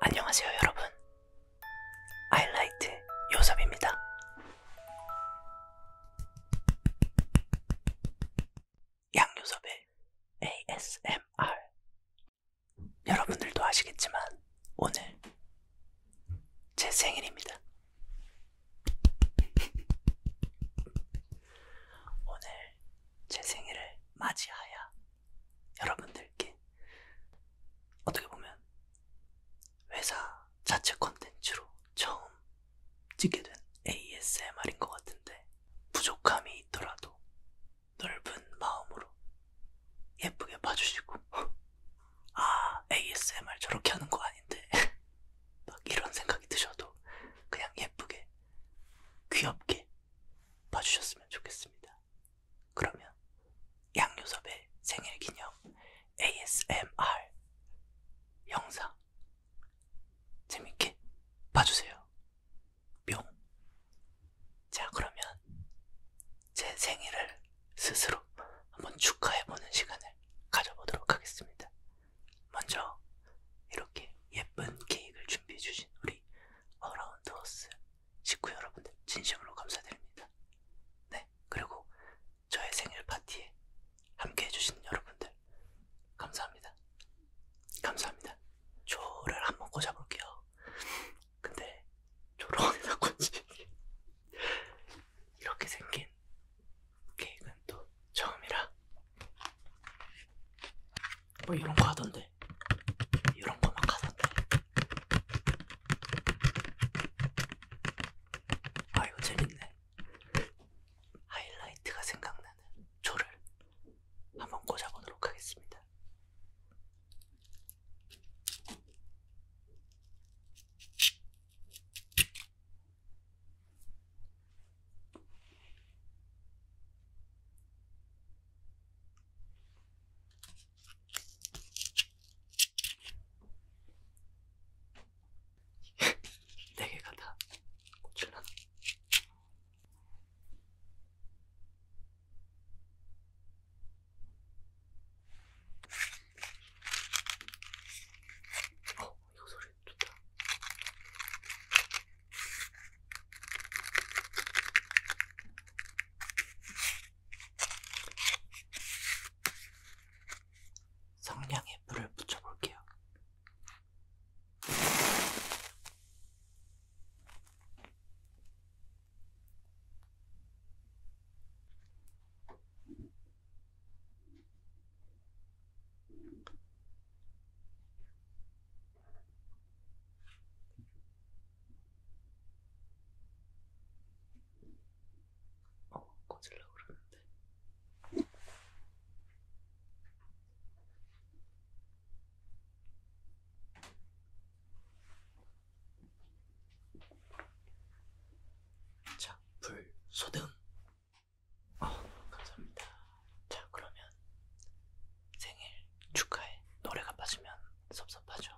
안녕하세요 여러분 아이라이트 요섭입니다 양요섭의 ASMR 여러분들도 아시겠지만 오늘 제 생일입니다. 오늘 제 생일을 맞이하여 여러분들께 어떻게 보면 회사 자체 컨텐츠로 처음 찍게 된 ASMR인 것 같은데 부족함이 있더라도 넓은 마음으로 예쁘게 봐주시고 아 ASMR 저렇게 하는 거 아닌데 막 이런 생각이 드셔도 그냥 예쁘게 귀엽게 봐주셨으면 좋겠습니다. 그러면 양요섭의 생일기념 ASMR 영상 재밌게 봐주세요. 뿅 자, 그러면 제 생일을 스스로 한번 축하해보는 시간을 가져보도록 하겠습니다. 먼저 이렇게 예쁜 케이크를 준비해주신 우리 어라운드호스 식구 여러분들 진심으로 감사드립니다. 네, 그리고 저의 생일 파티에 함께해주신 여러분들 감사합니다. 감사합니다. 조를 한번 꽂아볼게요. 근데 조롱이나 건지 이렇게 생긴 케이크는 또 처음이라 뭐 이런 거 하던데 이런 거만 하던데 아 이거 재밌네 하이라이트가 생각나는 초를 한번 꽂아보도록 하겠습니다 네 개가 다 꽂힐라나? 어, 이거 소리 좋다. 성냥에 불을 붙여볼게요. 어, 꺼질라 그러는데. 자, 불 소등. 어, 감사합니다. 자, 그러면 생일 축하해. 노래가 빠지면 섭섭하죠.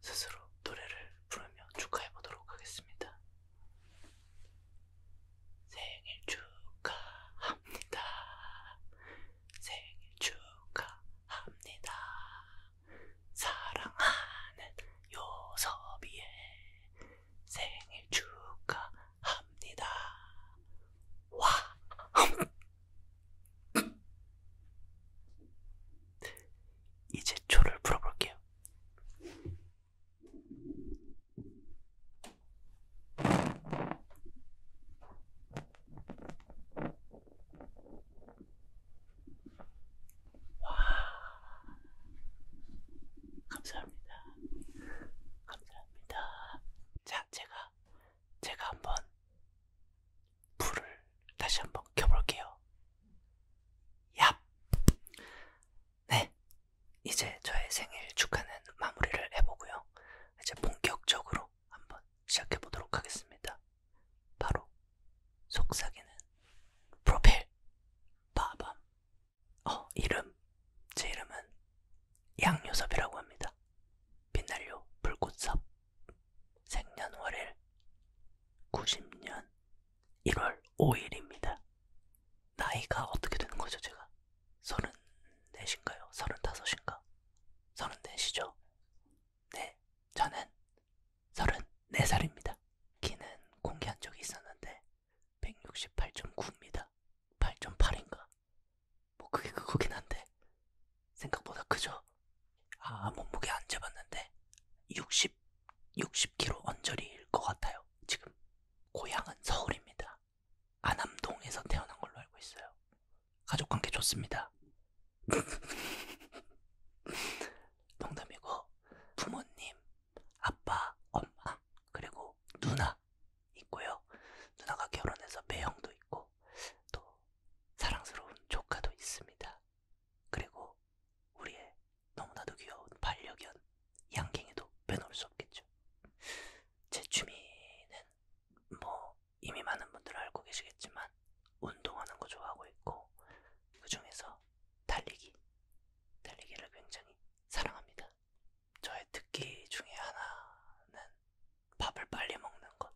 스스로 노래를 부르며 축하해 보도록 하겠습니다. 생일 축하합니다. 생일 축하합니다. 사랑하는 요섭이의 생일 축하합니다. 와! 이제 초를 풀어볼게요. 와, 감사합니다. 감사합니다. 자, 제가 제가 한번 불을 다시 한번 켜볼게요. 야, 네, 이제 저의 생일 축하는 마무리를 해보고요. 이제 본격적으로 한번 시작해 보도록 하겠습니다. 바로 속삭이는 프로필 빠밤 어 이름 제 이름은 양요섭이라고 합니다. 빛날요 불꽃섭 생년월일 90년 1월 5일입니다. 나이가 어떻게 되는 거죠 제가? 34인가요? 35인가? 34시죠? 네 저는 34살입니다. 키는 공개한 적이 있었는데 168.9입니다. 8.8인가? 뭐 그게 그거긴 한데 생각보다 크죠? 아 몸무게 안 재봤는데 60, 60kg 언저리일 것 같아요. 지금 고향은 서울입니다. 안암동에서 태어난 걸로 알고 있어요. 가족 관계 좋습니다. 농담이고 부모님, 아빠, 엄마, 그리고 누나 있고요. 누나가 결혼해서 배형도 있고 또 사랑스러운 조카도 있습니다. 그리고 우리의 너무나도 귀여운 반려견 양갱이도 빼놓을 수 없겠죠. 제 취미는 뭐 이미 많은 분들은 알고 계시겠지만 운동하는 거 좋아하고 있고 그 중에서 달리기, 달리기를 굉장히 사랑합니다. 저의 특기 중에 하나는 밥을 빨리 먹는 것.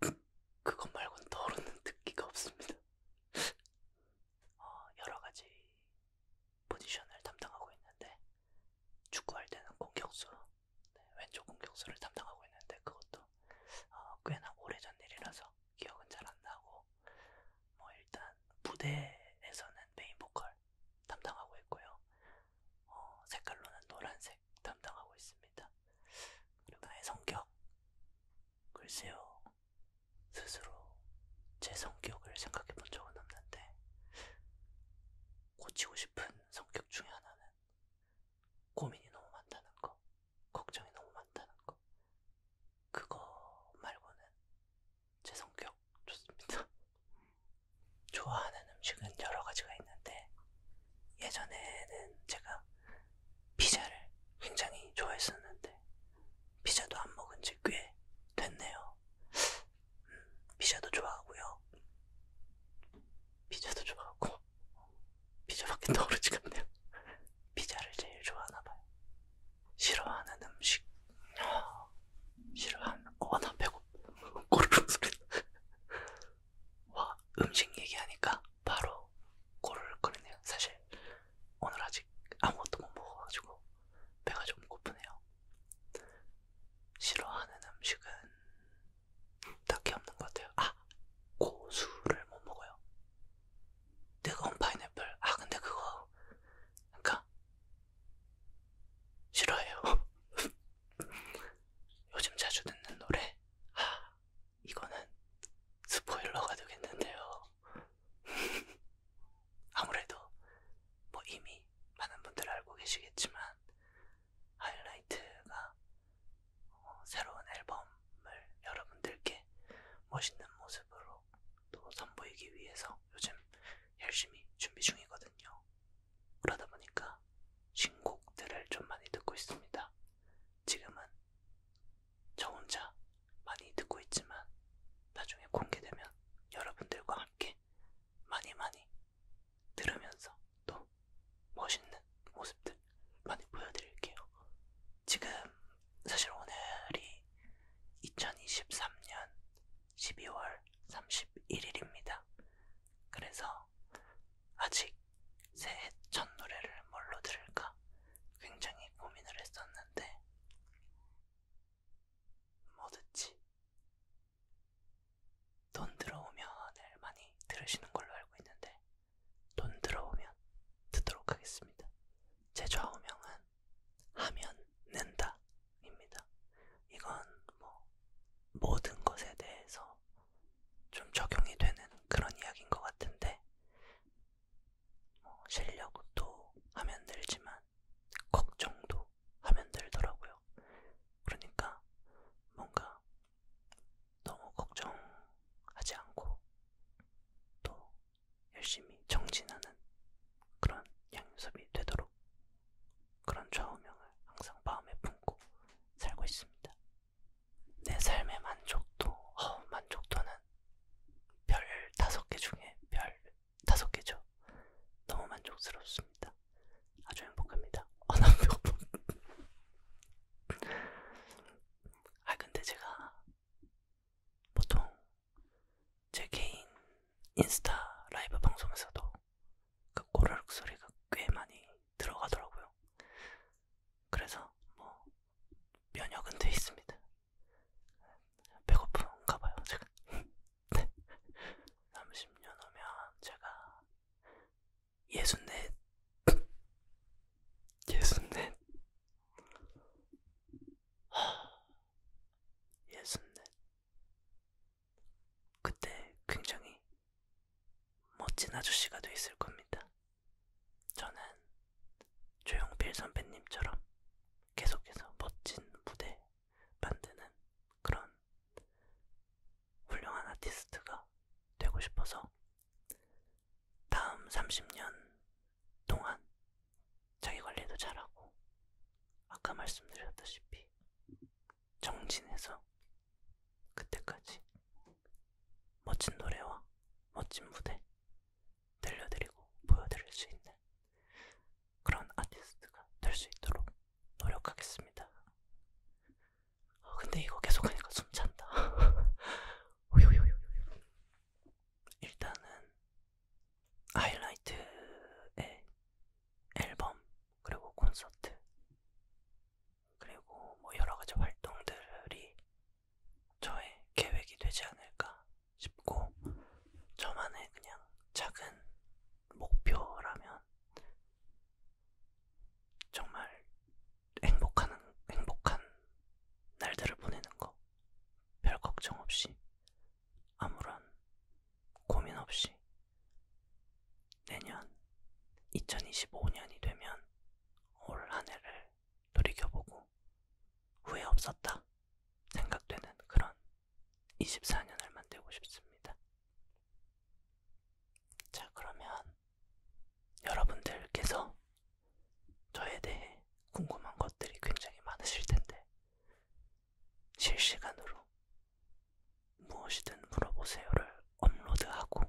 그것 말고는 더러는 특기가 없습니다. 어, 여러 가지 포지션을 담당하고 있는데 축구할 때는 공격수, 네, 왼쪽 공격수를 담당하고 있는데 그것도 어, 꽤나 오래전 일이라서 기억은 잘 안 나고 뭐 일단 무대에서는 메인 보컬 담당하고 있고요. 어, 색깔로는 노란색 담당하고 있습니다. 그리고 나의 성격 글쎄요 스스로 제 성격을 생각해 본 적은 없는데 고치고 싶은 성격 중에 하나는 고민이 너무 많다는 거, 걱정이 너무 많다는 거, 그거 말고는 제 성격 좋습니다. 좋아하는 음식은 여러 가지가 있는데, 예전에는 제가 피자를 굉장히 좋아했었는데, 피자도 안 먹은 지 꽤 됐네요. 음, 피자도 좋아하고요. 피자도 좋아하고, 어, 피자밖에 떠오르지가 않네요. 피자를 제일 좋아하나봐요. 싫어하는 음식, 어, 싫어하는, 어, 나 배고파. 꼬르륵 소리. 와, 음식 얘기하니까 바로 꼬르륵 거리네요. 사실, 오늘 아직 아무것도 못 먹어가지고 배가 좀 고프네요. 싫어하는 음식은 딱히 없는 것 같아요. 아! 고수를 못 먹어요. 뜨거운 파인애플. 아, 근데 그거, 그니까, 싫어해요. 요즘 자주 듣는 노래. 아, 이거는 스포일러가 되겠는데요. 아무래도, 뭐 이미 많은 분들 알고 계시겠지만, 하이라이트가 어, 새로운 앨범을 여러분들께 멋있는 모습으로 또 선보이기 위해서 요즘 열심히 준비 중이거든요. 그러다 보니까 신곡들을 좀 많이 듣고 있습니다. 지금은 저 혼자 많이 듣고 있지만 나중에 공개되면 여러분들과 함께 많이 많이 들으면서 또 멋있는 모습들 많이 보여드릴게요. 지금 사실 오늘이 2023년 12월 31일입니다. 그래서 아직 새해 첫 노래를 뭘로 들을까 굉장히 고민을 했었는데 뭐 듣지? 돈 들어오면을 많이 들으시는 걸로 알고 있는데 돈 들어오면 듣도록 하겠습니다. 제 좌우명은 하면 는다입니다. 이건 뭐 모든 것에 대해서 좀 적용이 되는 그런 이야기인 것 같은데 뭐 실력도 하면 늘지만 걱정도 하면 들더라고요. 그러니까 뭔가 너무 걱정하지 않고 또 열심히 정진하는 그런 양요섭이 되도록 그런 좌우명을 항상 마음에 품고 살고 있습니다. 내 삶의 만족도, 어, 만족도는 별 다섯 개 중에 별 다섯 개죠. 너무 만족스럽습니다. 아주 행복합니다. 아, 나 배고파. 아 근데 제가 보통 제 개인 인스타 라이브 방송에서도 그 꼬르륵 소리가 꽤 많이 들어가더라고요. 그래서 뭐 면역은 돼 있습니다. 배고픈가 봐요 제가. 30년 후면 제가 예순넷 예순넷 예순넷 그때 굉장히 멋진 아저씨가 돼 있을 겁니다. 저는 조용필 선배님처럼 계속해서 멋진 무대 만드는 그런 훌륭한 아티스트가 되고 싶어서 다음 30년 동안 자기 관리도 잘하고 아까 말씀드렸다시피 정진해서 그때까지 멋진 노래와 멋진 무대 들려드리고 보여드릴 수 있는 그런 아티스트가 될 수 있도록 노력하겠습니다. 아, 근데 이거 계속하니까 숨찬다. 일단은 하이라이트의 앨범 그리고 콘서트 그리고 뭐 여러 가지 활동들이 저의 계획이 되지 않을까 싶고 저만의 그냥 작은 목표라면 정말 행복한, 행복한 날들을 보내는 거. 별 걱정 없이, 아무런 고민 없이, 내년 2025년이 되면 올 한 해를 돌이켜보고 후회 없었다 생각되는 그런 24년을 만들고 싶습니다. 자, 그러면 여러분들께서 저에 대해 궁금한 것들이 굉장히 많으실 텐데, 실시간으로 무엇이든 물어보세요를 업로드하고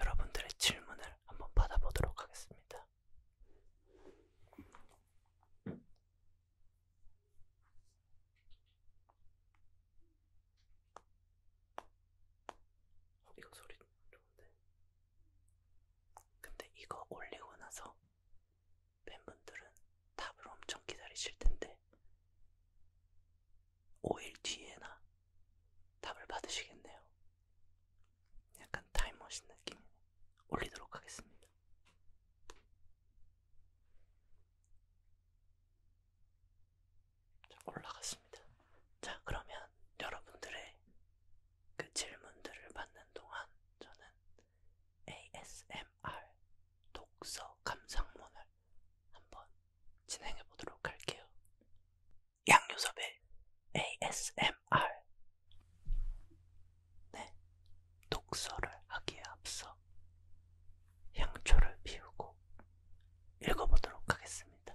여러분들의 질문을 한번 받아보도록 하겠습니다. 어, 이거 소리 좋은데? 근데 이거 올리고 나서 팬분들은 답을 엄청 기다리실 텐데 5일 뒤에나 답을 받으시겠네요. 약간 타임머신 느낌 올리도록 하겠습니다. 올라갔습니다. 자, 그러면 여러분들의 그 질문들을 받는 동안 저는 ASMR 독서 감상문을 한번 진행해 보도록 할게요. 양요섭의 ASMR 네, 독서를 하기에 앞서 향초를 피우고 읽어보도록 하겠습니다.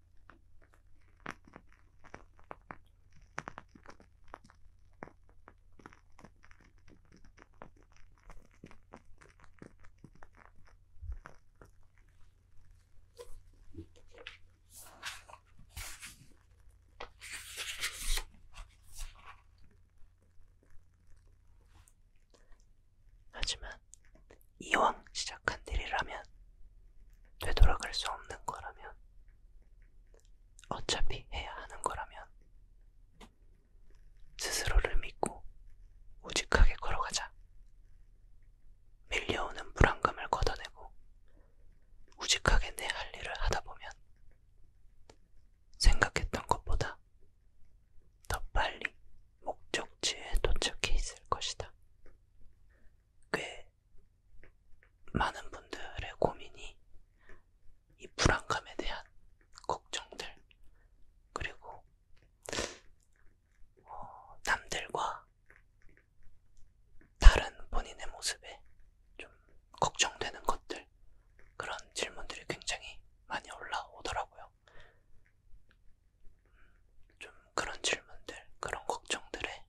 하지만 이왕 시작한 일이라면 되돌아갈 수 없는 거라면, 어차피 해야 하는 거라면, 스스로를 믿고 우직하게 걸어가자. 밀려오는 불안감을 걷어내고, 우직하게 내 할 일을 하다 보면, 생각했던 것보다 더 빨리 목적지에 도착해 있을 것이다. 꽤 많은 분들의 고민이 이 불안감에 대한 걱정들, 그리고 어, 남들과 다른 본인의 모습에 좀 걱정되는 것들, 그런 질문들이 굉장히 많이 올라오더라고요. 음, 좀 그런 질문들, 그런 걱정들에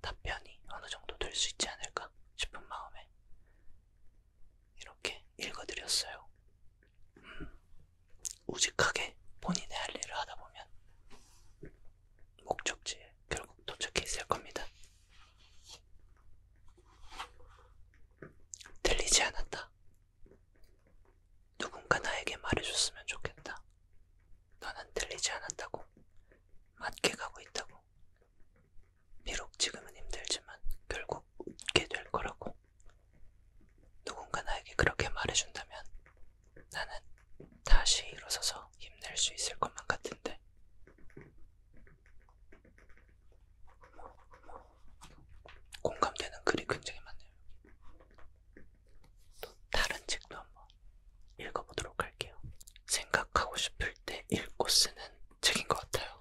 답변이 어느 정도 될 수 있지 않을까 싶은 마음에 이렇게 읽어드렸어요. 음, 우직하게 본인의 할 일을 하다 보면 목적지에 결국 도착해 있을 겁니다. 들리지 않았다. 누군가 나에게 말해줬으면 좋겠다. 너는 들리지 않았다고. 맞게 가고 있다고. 비록 지금은 힘들지만 결국 웃게 될 거라고. 누군가 나에게 그렇게 말해준다면 나는 다시 일어서서 힘낼 수 있을 것만 같은데. 공감되는 글이 굉장히 많네요. 또 다른 책도 한번 읽어보도록 할게요. 생각하고 싶을 때 읽고 쓰는 책인 것 같아요.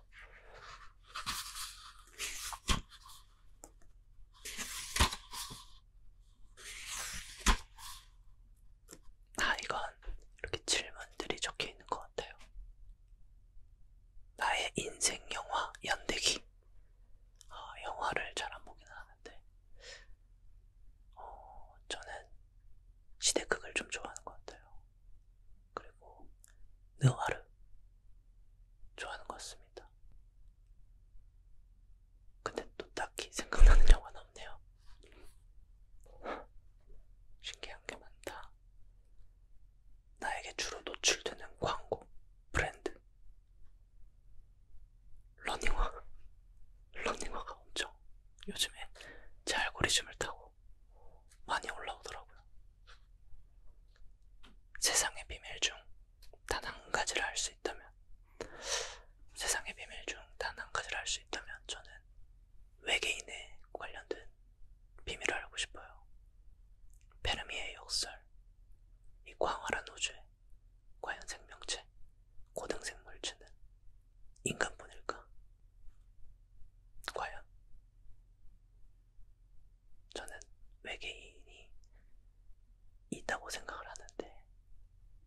아, 이건 이렇게 질문들이 적혀 있는 것 같아요. 나의 인생 영화 연대기. 아, 영화를 잘 안 보긴 하는데 어, 저는 시대극을 좀 좋아하는 것 같아요. 그리고 느와르 좋아하는 것 같습니다. 근데 또 딱히 생각나는 영화는 없네요. 신기한 게 많다. 나에게 주로 노출되는 광고, 브랜드, 러닝화 러닝화가 엄청 요즘에 제 알고리즘을 타고 많이 올라오더라고요. 세상의 비밀 중 단 한 가지를 알 수 있다면 세상의 비밀 중 단 한 가지를 알 수 있다면 저는 외계인에 관련된 비밀을 알고 싶어요. 페르미의 역설, 이 광활한 우주에 과연 생명체, 고등생물체는 인간뿐일까? 과연? 저는 외계인이 있다고 생각을 하는데,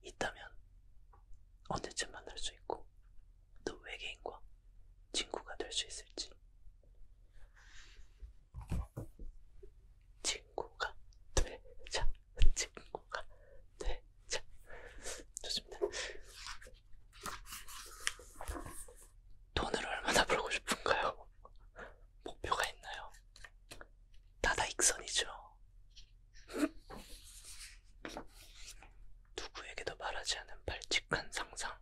있다면 언제쯤 만날 수 있고, 또 외계인과 친구가 될 수 있을지. 친구가 되자, 친구가 네, 자, 좋습니다. 돈을 얼마나 벌고 싶은가요? 목표가 있나요? 다다익선이죠. 누구에게도 말하지 않은 발칙한 상상.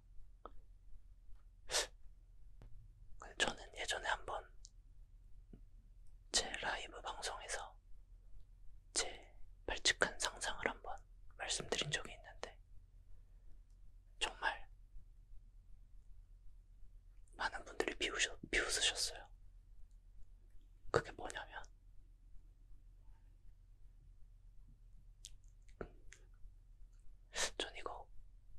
저는 예전에 한번 제 라이브 방송에서 제 발칙한 상상을 한번 말씀드린 적이 있는데, 정말 많은 분들이 비웃으, 비웃으셨어요. 그게 뭐냐면, 전 이거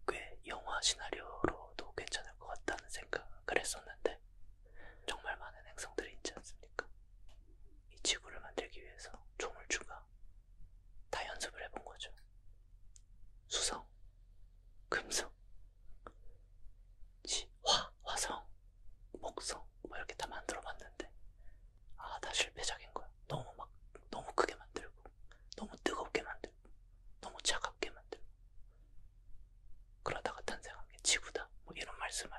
꽤 영화 시나리오로도 괜찮을 것 같다는 생각을 했었는데, 정말 많은 행성들이 있지 않습니까? 이 지구를 만들기 위해서 조물주가 다 연습을 해본 거죠. 수성, 금성, 지, 화, 화성, 목성 뭐 이렇게 다 만들어봤는데 아 다 실패작인 거야. 너무 막 너무 크게 만들고 너무 뜨겁게 만들고 너무 차갑게 만들고 그러다가 탄생한 게 지구다. 뭐 이런 말씀을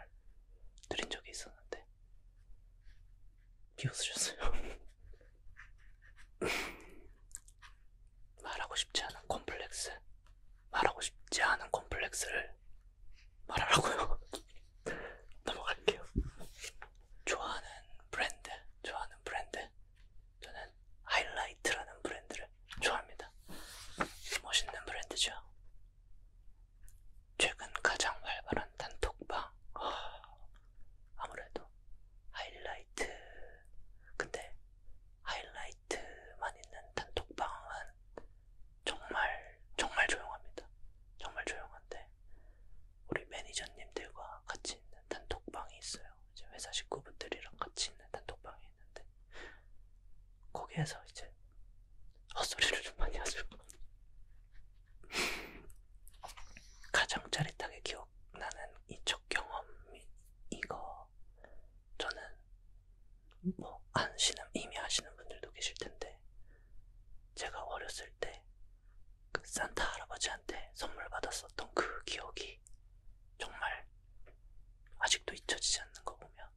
드린 적이 있었는데 비웃으셨어요. 말하고 싶지 않은 콤플렉스, 말하고 싶지 않은 콤플렉스를 말하라고요. 넘어갈게요. 좋아하는 브랜드, 좋아하는 브랜드. 저는 하이라이트라는 브랜드를 좋아합니다. 멋있는 브랜드죠. 최근 가장 활발한 단톡방 아무래도 하이라이트 근데 하이라이트만 있는 단톡방은 정말 정말 조용합니다. 정말 조용한데 우리 매니저님들과 같이 있는 단톡방이 있어요. 이제 회사 식구분들이랑 같이 있는 단톡방이 있는데 거기에서 이제 헛소리를 좀 많이 하죠. 가장 짜릿하게 기억나는 이 첫 경험이 이거 저는 뭐 아시는 이미 아시는 분들도 계실 텐데 제가 어렸을 때 그 산타 할아버지한테 선물 받았었던 그 기억이 정말 아직도 잊혀지지 않는 거 보면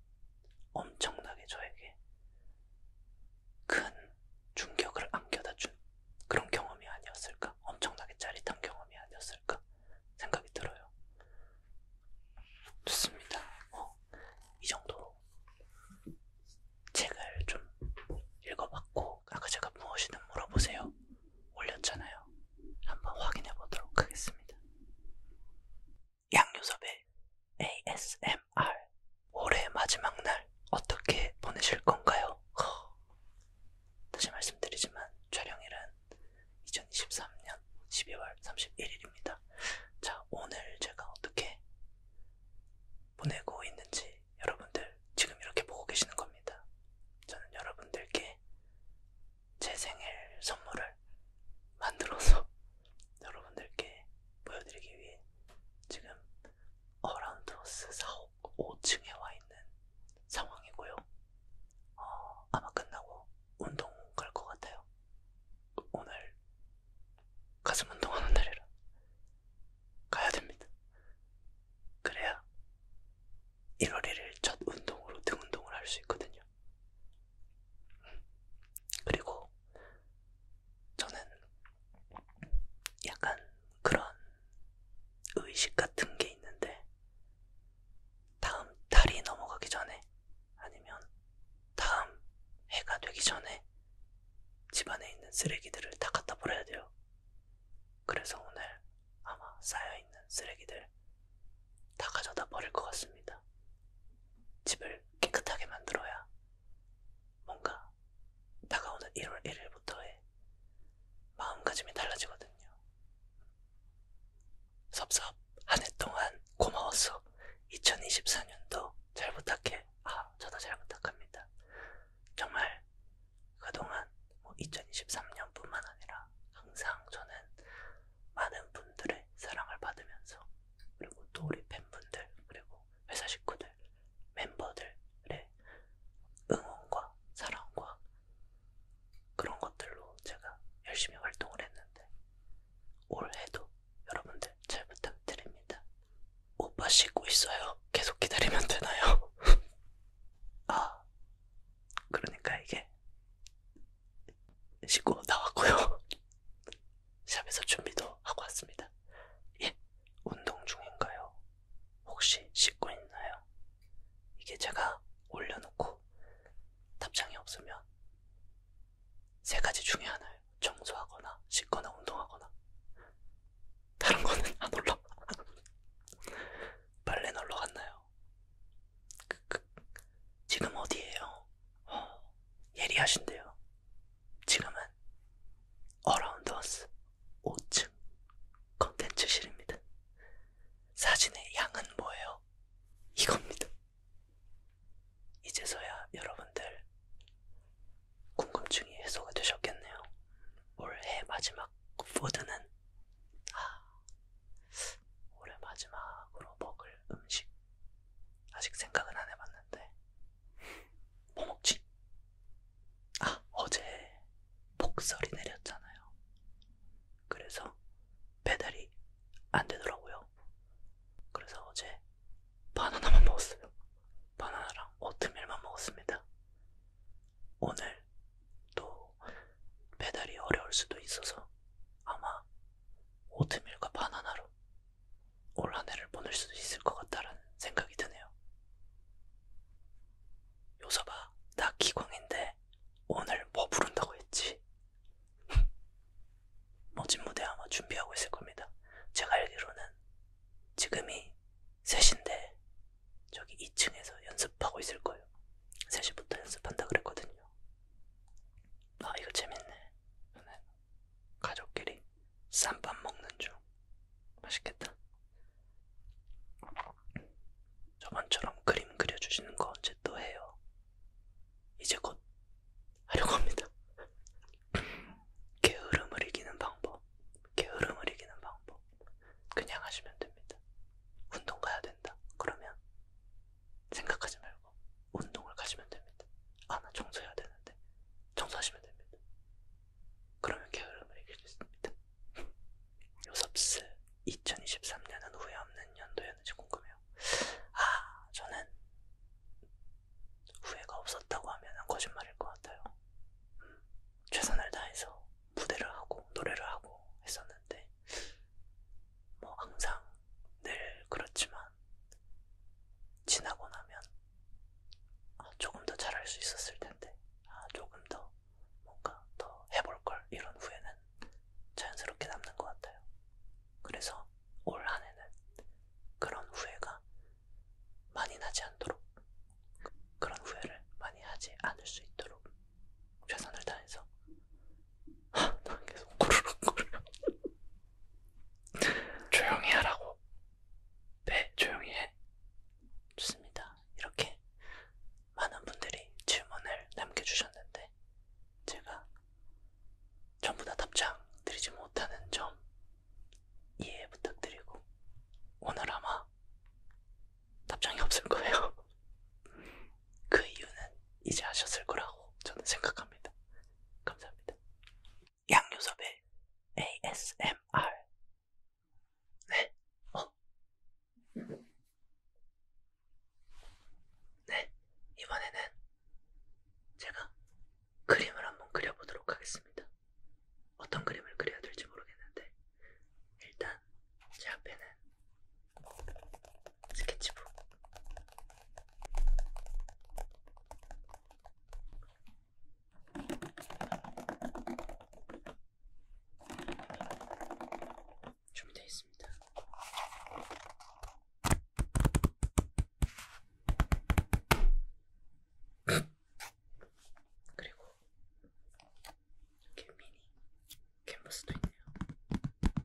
엄청나게 저에게 큰 충격을 안겨다 준 그런 경험이 아니었을까? 엄청나게 짜릿한 경험이 아니었을까? 생각이 들어요. 좋습니다. 어, 이 정도로 책을 좀 읽어봤고, 아까 그 제가 무엇이든 물어보세요. 올렸잖아요. 한번 확인해 보도록 하겠습니다. 양요섭의 ASMR 올해 마지막 날 어떻게 보내실 건가요? 허. 다시 말씀드리지만 촬영일은 2023년 12월 31일입니다. 자, 오늘 제가 어떻게 보내고 있는지 여러분들 지금 이렇게 보고 계시는 겁니다. 저는 여러분들께 제 생일 선물을 만들어서 여러분들께 보여드리기 위해 지금 어라운드호스 사옥 5층에 와 있는 상황이고요. 어, 아마 끝나고 운동 갈 것 같아요. 오늘 가슴 운동하는 날이라 가야 됩니다. 그래야 1월 1일 첫 운동으로 등 운동을 할 수 있거든요. 그리고 저는 약간 그런 의식 같은 게 있는데 다음 달이 넘어가기 전에 아니면 다음 해가 되기 전에 집안에 있는 쓰레기들을 다 갖다 버려야 돼요. 그래서 오늘 아마 쌓여있는 쓰레기들 다 가져다 버릴 것 같습니다. 집을 깨끗하게 만들어야 뭔가 다가오는 1월 1일부터의 마음가짐이 달라지거든요. 섭섭 한 해 동안 고마웠어. 2024년도 잘 부탁해. 아, 저도 잘 부탁합니다. 정말 그동안 뭐 2023년뿐만 아니라 항상 저는 많은 분들의 사랑을 받으면서 그리고 또 우리 팬분들 그리고 회사 식구들 멤버들의 응원과 사랑과 그런 것들로 제가 열심히 활동을 했는데 올해도 여러분들 잘 부탁드립니다. 오빠 쉬고 있어요. 계속 기다리면 되나요? 아, 그러니까 이게 씻고 나왔고요. 샵에서 준비도 하고 왔습니다. 예, 운동 중인가요? 혹시 씻고 있나요? 이게 제가 올려놓고 답장이 없으면 세 가지 중에 하나예요. 청소하거나 씻거나 운동하거나 다른 거는 안 올라. 빨래 놀러 갔나요? 그, 그, 지금 어디에요? 어, 예리하신데요. 지금은 어라운드워스 5층 컨텐츠실입니다. 사진의 양은 뭐예요? 이겁니다. 이제서야 여러분들 궁금증이 해소가 되셨겠네요. 올해 마지막 포드는 아, 올해 마지막으로 먹을 음식 아직 생각은 안 해봤는데 뭐 먹지? 아 어제 폭설이 내렸잖아요. 그래서 배달이 안 되더라고요. 그래서 어제 바나나만 먹었어요. 바나나랑 오트밀만 먹었습니다. 오늘 또 배달이 어려울 수도 있어서 아마 오트밀과 바나나로 올 한해를 보낼 수도 있을 것 같다라는 생각이 드네요. 요서봐, 나 기광인데 오늘 뭐 부른다고 했지? 멋진 무대 아마 준비하고 있을 겁니다. 제가 알기로는 지금이 3시인데 저기 2층에서 연습하고 있을 거예요. 3시부터 연습한다 그랬거든요. 아 이거 재밌네. 저는 가족끼리 쌈밥 먹는 중. 맛있겠다. 저번처럼 그림 그려주시는 거 언제 또 해요? 이제 곧 하려고 합니다. 게으름을 이기는 방법. 게으름을 이기는 방법. 그냥 하시면 됩니다. 운동 가야 된다. 그러면 생각하지 말고 운동을 가시면 됩니다. 아, 나 청소해야 되는데. 청소하시면 됩니다. 그러면 게으름을 이길 수 있습니다. 요섭스 2023년은 후회 없는 연도였는지 궁금해요. 아, 저는 후회가 없었다고 하면 거짓말일 것 같아요. 음, 최선을 다해서 무대를 하고 노래를 하고 했었는데 뭐 항상 늘 그렇지만 지나고 나면 아, 조금 더 잘할 수 있었을 텐데, 아, 조금 더 뭔가 더 해볼 걸 이런 후회는 자연스럽게 남는 것 같아요. 그래서 올 한해는 그런 후회가 많이 나지 않도록 그런 후회를 많이 하지 않을 수 있도록 최선을 다해서 하, 난 계속 꾸르륵 꾸르륵 조용히 하라고. 네, 조용히 해. 좋습니다. 이렇게 많은 분들이 질문을 남겨주셨는데, 제가 전부 다 답장 드리지 못하는 점 이해 부탁드리고, 오늘 아마 답장이 없을 거예요. 그 이유는 이제 아셨을 거라고 저는 생각합니다. 감사합니다. 양요섭의 ASMR. 네. 어. 네. 이번에는 제가 그림을 한번 그려보도록 하겠습니다. 어떤 그림을 그려야 될지 모르겠는데, 일단 제 앞에는 스케치북, 준비되어 있습니다. 그리고 이렇게 미니 캔버스도 있네요.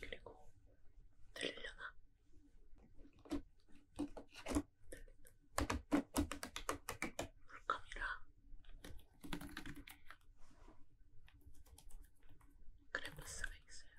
그리고 들리려나? 물감이랑 크레파스가 있어요.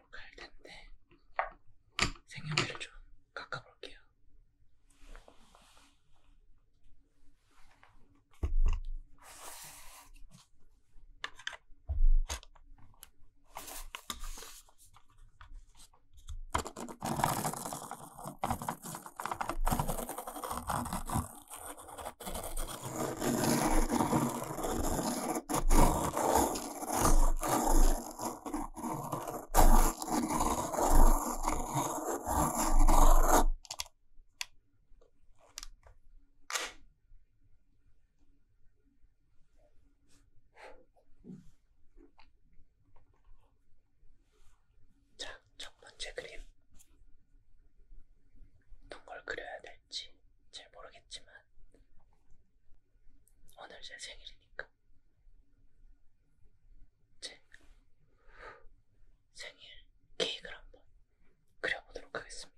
보도록 할 텐데 생연기를 좀 깎아볼게요. 자, 첫 번째 그림. 어떤 걸 그려야 될지 잘 모르겠지만 오늘 제 생일이니까. 제 생일 케이크를 한번 그려보도록 하겠습니다.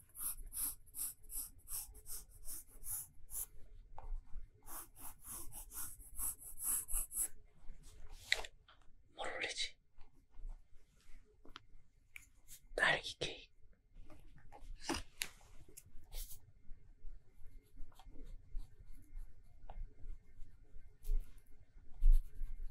뭘 올리지? 딸기 케이크.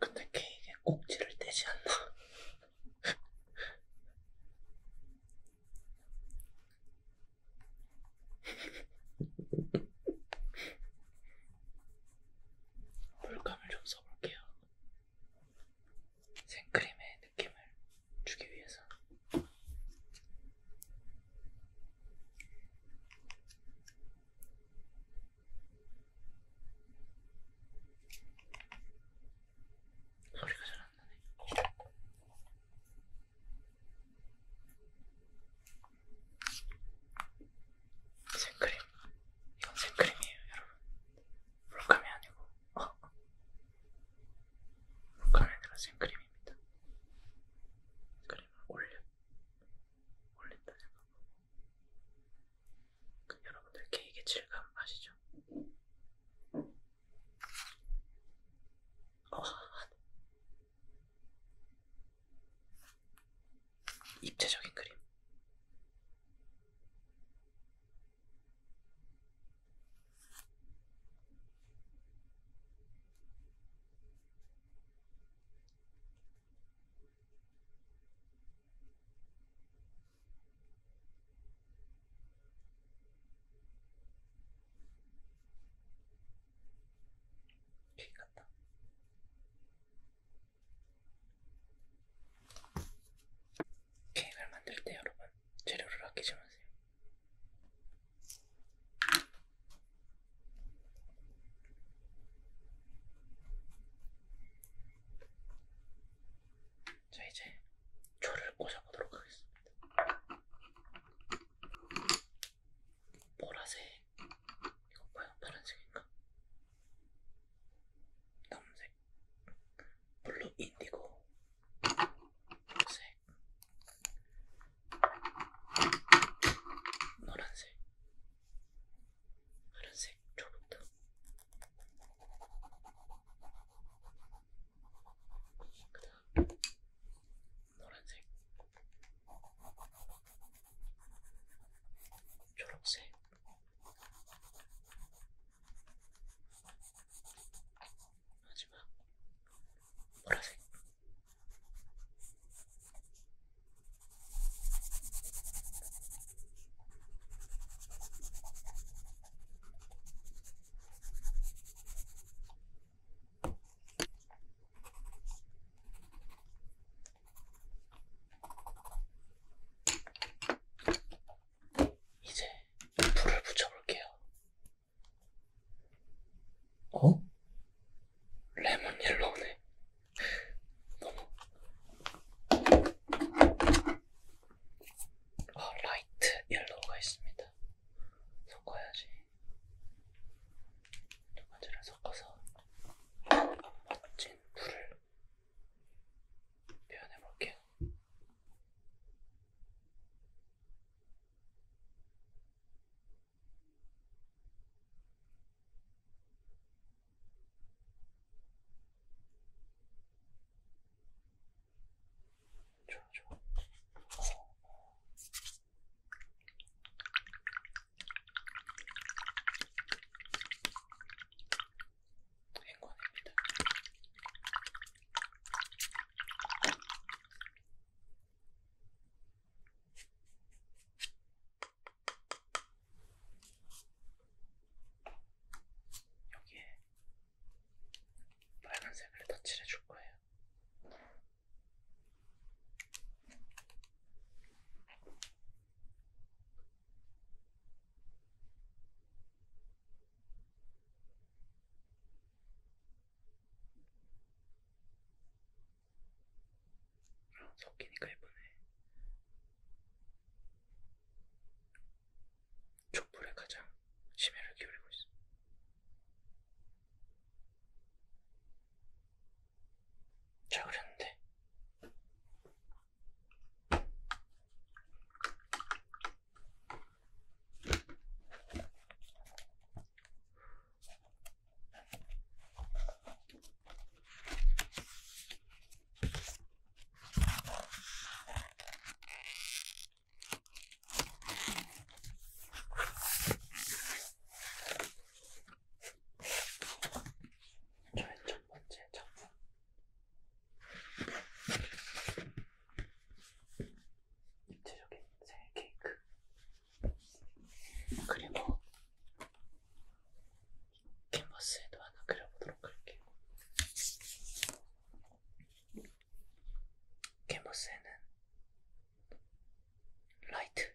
근데 케이크에 꼭지를 떼지 않나? 물감을 좀 써볼게요. 생크림의 느낌을 주기 위해서. 소리가 잘안 나네. 생크림. 이건 생크림이에요, 여러분. 물감이 아니고. 어, 루카에 들어 생크림입니다. 크림을 올려, 올린다 생각하고. 그 여러분들 케이크의 질감 아시죠? 어, 입체적인 그림. 같다. 케이크를 만들 때 여러분 재료를 아끼지 마세요. 자 이제 초를 꽂아보도록 하겠습니다. 보라색, 이거 뭐야? 파란색인가? 남색, 블루 인디고, 녹색, 노란색, 파란색, 초록도 그다음 노란색, 초록색. 마지막 보라색 이제 불을 붙여볼게요. 어? 레몬 옐로우네. 너무. 아, 어, 라이트 옐로우가 있습니다. 섞어야지. 두 가지를 섞어서 멋진 물을 표현해 볼게요. 행운입니다. 여기에 빨간색을 터치를 해줄 거예요. 아, 섞이니까 예쁘네. 촛불에 가장 심혈을 기울이고 있어. 잘 그렸는데. 저의 첫 번째 작품. 입체적인 생일 케이크. 그리고 캔버스에도 하나 그려보도록 할게요. 캔버스에는 라이트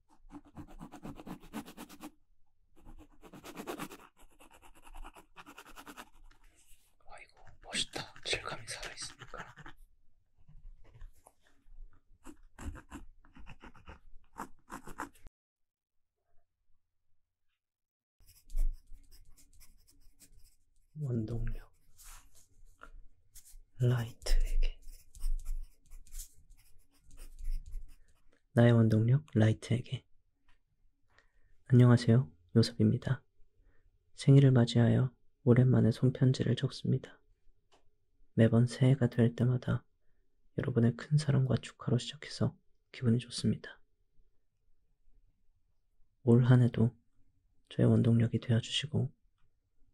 아이고 멋있다. 질감이 살아있으니까. 원동력 라이트에게 나의 원동력 라이트에게 안녕하세요. 요섭입니다. 생일을 맞이하여 오랜만에 손편지를 적습니다. 매번 새해가 될 때마다 여러분의 큰 사랑과 축하로 시작해서 기분이 좋습니다. 올 한 해도 저의 원동력이 되어주시고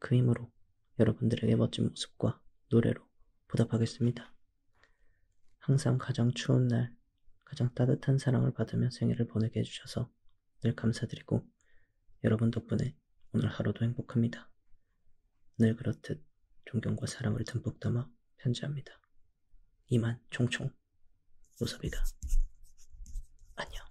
그 힘으로 여러분들에게 멋진 모습과 노래로 보답하겠습니다. 항상 가장 추운 날, 가장 따뜻한 사랑을 받으며 생일을 보내게 해주셔서 늘 감사드리고 여러분 덕분에 오늘 하루도 행복합니다. 늘 그렇듯 존경과 사랑을 듬뿍 담아 편지합니다. 이만 총총 노섭이다. 안녕.